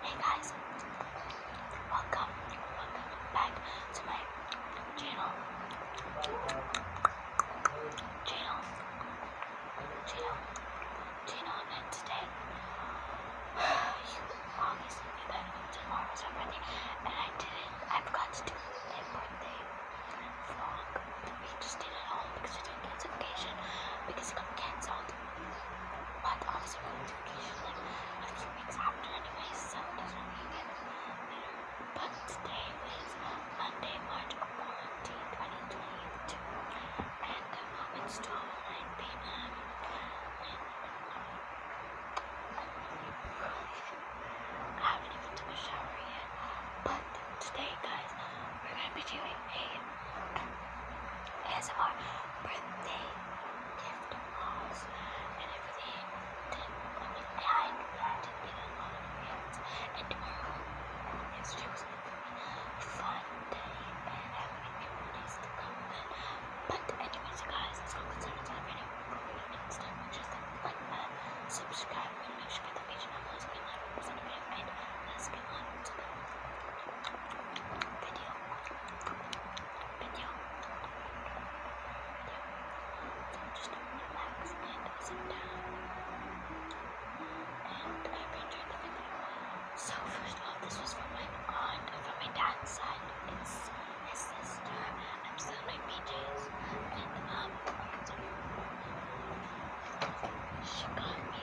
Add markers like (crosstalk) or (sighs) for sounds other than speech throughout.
Hey guys, welcome, welcome back to my channel, channel, channel, channel, and today, (sighs) you obviously my birthday, and I didn't, I forgot to do my birthday vlog, we just did it at home because it got cancelled, but obviously, we're going to my it like a few weeks after, anyway, so it doesn't really get But today is Monday, March 14, 2022, and um, it's 12 9 p.m. I haven't even took a shower yet, but today, guys, we're gonna be doing ASMR birthday gift hauls and everything. Did, I mean, I did get a lot of gifts. And tomorrow, yesterday was a very fun day, and I have many more days to come. But, anyways, you guys, let's go consider this video before we get started. Just like, like, uh, subscribe, and make sure you get the page on those. We love you, and let's get on video, video, Just relax and sit down. And I hope the video. So first off, this was from my aunt, from my dad's side. It's his sister. I'm still in my PJs. And um, she got me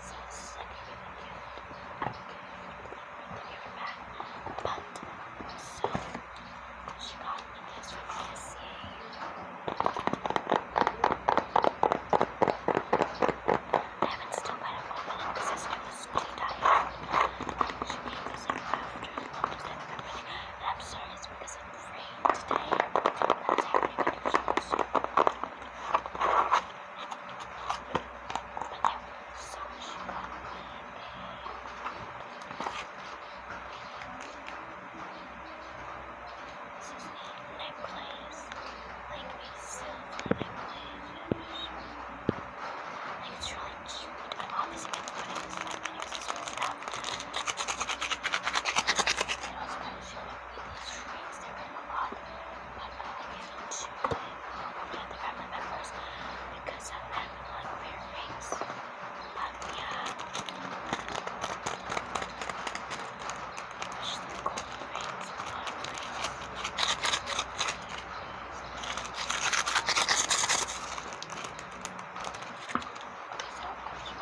process to give her back. But so she got the news from DSCA. I haven't still got a moment because my sister was pretty tired. She made this up after the moment that I'm ready. And I'm sorry it's because I'm free today. That's how I got it. So, so. This is a necklace, like a silver necklace. Like it's really cute. I'm obviously gonna put it inside my new sister's stuff. It also kind of shows most readings, there were a lot, but I would give it to the, the family members because of them, like weird things. But yeah, especially gold rings,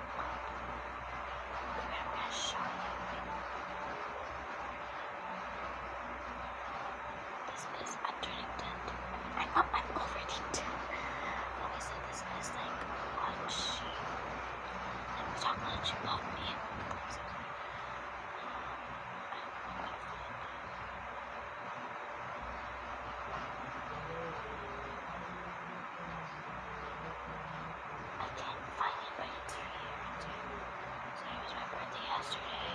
This is undirected. I know I'm already done. Okay, so this is like what she, like the chocolate she bought me. Um, I can't finally wait until here until so it was my birthday yesterday.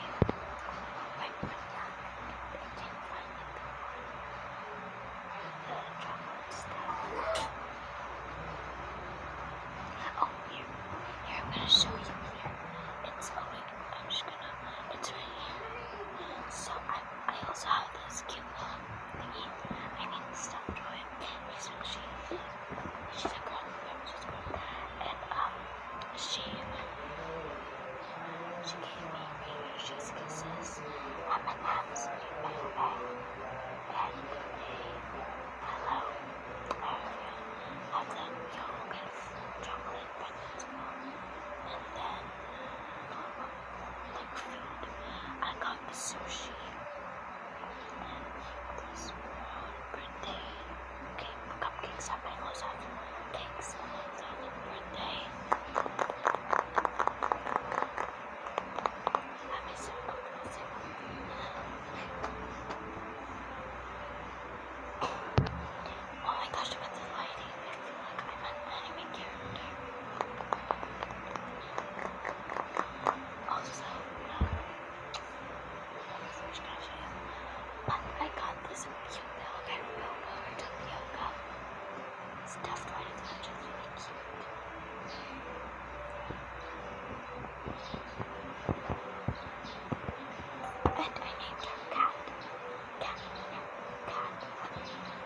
My birthday. I can't finally go Oh here. Here I'm gonna show you here. It's oh wait, I'm just gonna it's right here. So I I also have this cute I mean, stuffed toy. So she, she's a girl, she's a girl. And, um, she, she gave me precious kisses, M&M's, and a and a pillow. I have the yolk and chocolate pregnant. And then, um, like food. I got sushi and birthday cake, cupcakes have mangoes have birthday I miss him, I miss oh my gosh, look the lighting I feel like I'm an anime character also, but I got this cute little guy from Bobo or stuffed right into which really cute. And I named her Cat, cat, cat.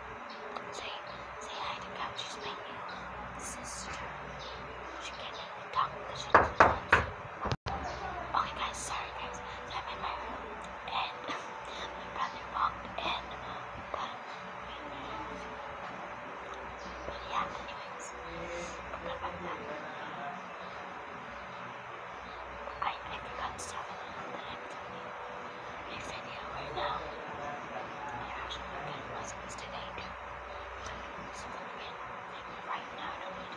Say, say hi to my sister. She can't let talk because she does Okay, guys, sorry, guys. I'm my room, and (laughs) my brother walked in, but But yeah, anyways. I, I forgot something that you your video right now. I actually working on lessons today too. So I'm going to be working right now to me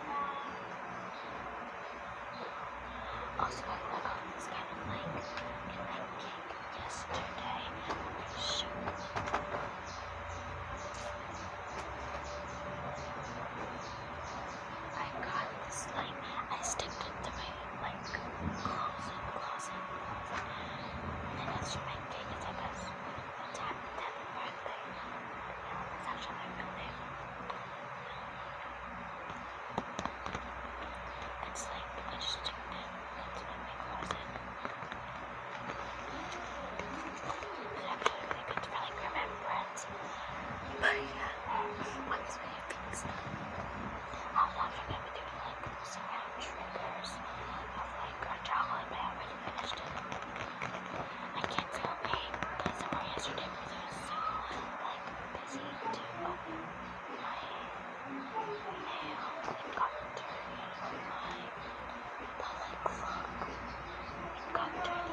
Also, I got on this kind of like in that yesterday. Shoot. I got this like I sticked it to my like closing, closing, And that's my cake is the best. But that, that's my birthday. And it's actually my It's like, I just turned it into my closet. It's actually really good for like remembrance. But yeah, what is my things? How long have I been doing this orange fingers of like a chocolate, but I already finished I can't say okay, but some yesterday was so like busy to open my mail and got on my public vlog. It got dirty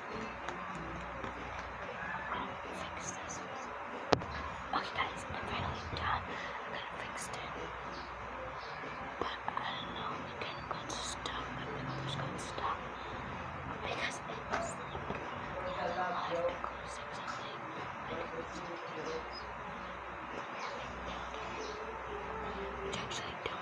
fix this. Okay guys, I'm finally done. I kind of fixed it. But I don't know, it kind of got stuck. My fingers got stuck. Because it like, you know, the live pickles or something. But it actually do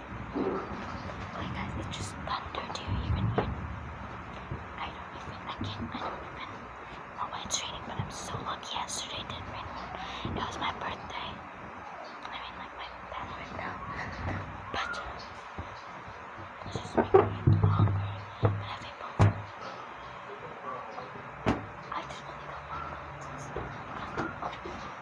Like oh guys, it just thundered here. You I don't even. I can't. I don't even know why it's raining, but I'm so lucky. Yesterday did not rain. It was my birthday. I mean, like my bad right But it's just making me longer. But I think both. I just want to go.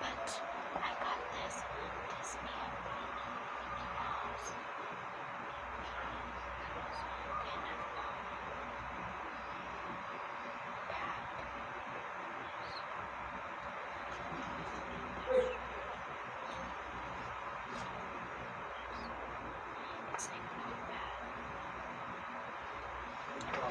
But I got this Disney Mickey Mouse. Kind of it's like not bad. It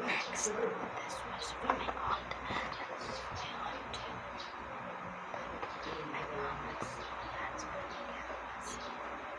Next, this was really hot. This is really hot too. My mom was, that's what I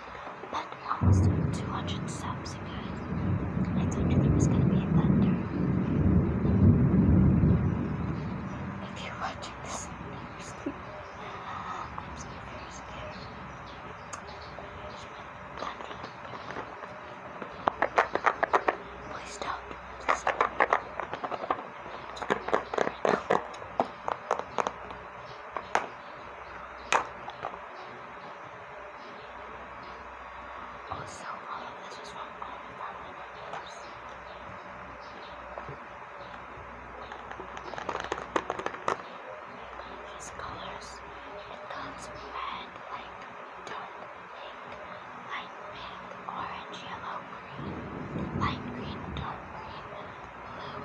But we almost did 200 subs, you guys. I told you there was gonna be a thunder. If you're watching this, seriously, I'm so scared. Please don't. Also, all of this was from all the family members. These colors, it comes red, like dark pink, light pink, orange, yellow, green, light green, dark green, blue,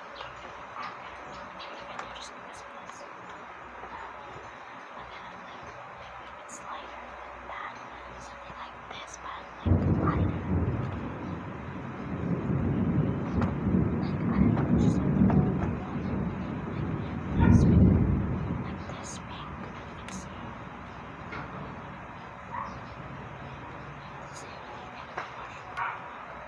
it's lighter than that, something like this, but like lighter. Like, I don't know, just something like this pink, like this pink. It's, it's really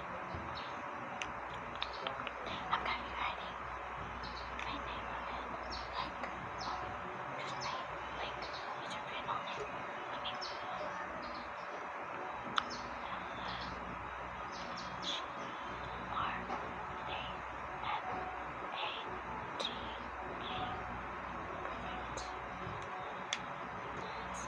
I'm gonna be writing my name on it. Like, um, just name, like, it's a written on it. I mean, R A M A T A. Perfect. So,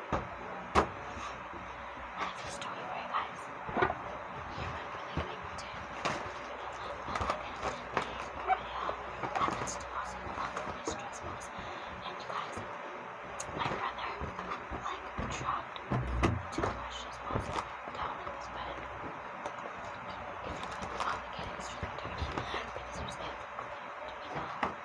I have a story for you guys. You might be like, I did. I happens to also welcome his trespass. And you guys, my brother, like, dropped two precious balls down in his bed. It's really complicated, it's really dirty, because there's everything, you know.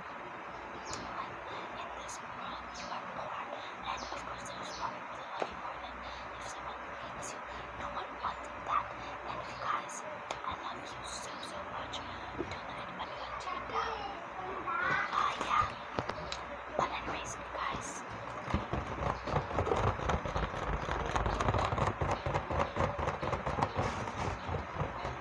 in this world, you are poor. And of course, there's nothing really much more than if someone hates you. No one wants that. And if you guys, I love you so, so much. Don't let anybody let you down. Uh, yeah. But anyways, you guys.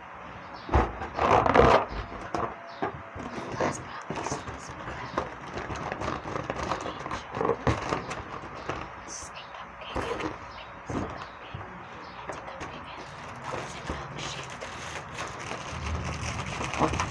does not listen to danger. Snake cupcake, witness the cupcake, and the cupcake holds a milkshake. Let's celebrate. Happy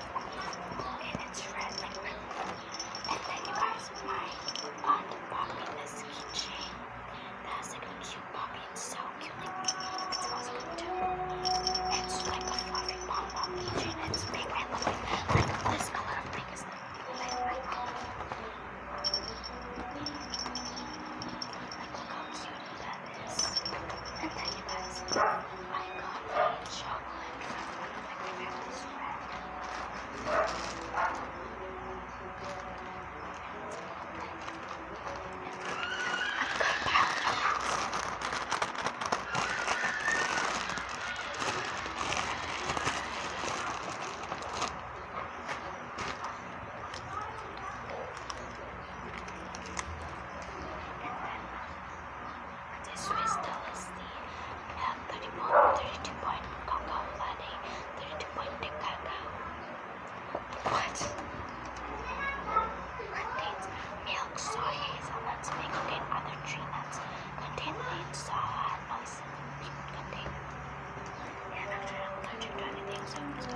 and it's red like purple. And then you guys, my aunt bought me this keychain that has like a cute puppy. It's so cute, like it smells good too. It's like a fluffy pom pom keychain. It's big and fluffy, Like this color of pink is like my favorite color. Like how cute it got this. And then you guys, I got chocolate from one of my grandma's friends. I've got powder and then this crystal is the uh, 31, 32 point cacao latte, 32 point cacao. What? Contains milk, soy, hazelnuts, may contain other tree nuts. Contain wheat, soya, noise. Contain. Yeah, actually, I'm anything, so.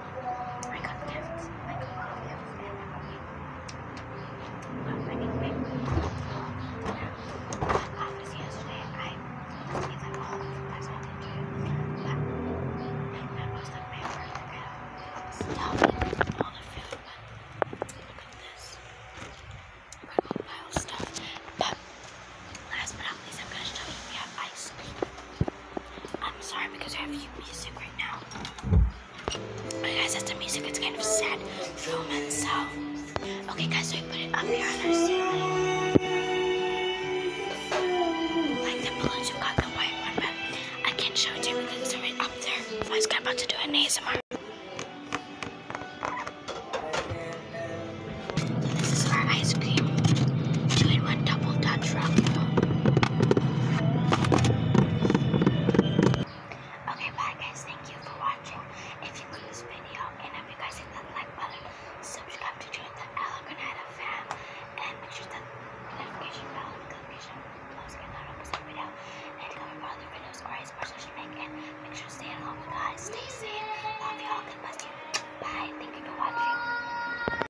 I got gifts. I got gifts. Not many big office yesterday. I it's like all oh, that's not into but that was the paper to get stuff all the food but look at this. I'm gonna go pile stuff. But last but not least I'm gonna show you we have ice cream. I'm sorry because I have music right now. Okay, guys, that's the music. It's kind of sad film so. Okay, guys, so we put it up here on our ceiling. Like the balloons, we've got the white one, but I can't show it to you because it's right up there. I was about to do an ASMR. this is our ice cream. Two one double Dutch rock. Okay, bye guys. Thank you for watching. If you like this video and if you guys hit that like button, subscribe to join the Ella Granada fam, and make sure that notification bell notification bells get notified every video. And cover for other videos or as much make, and make sure to stay at home, guys. Stay safe. Love y'all. God bless Bye. Thank you for watching.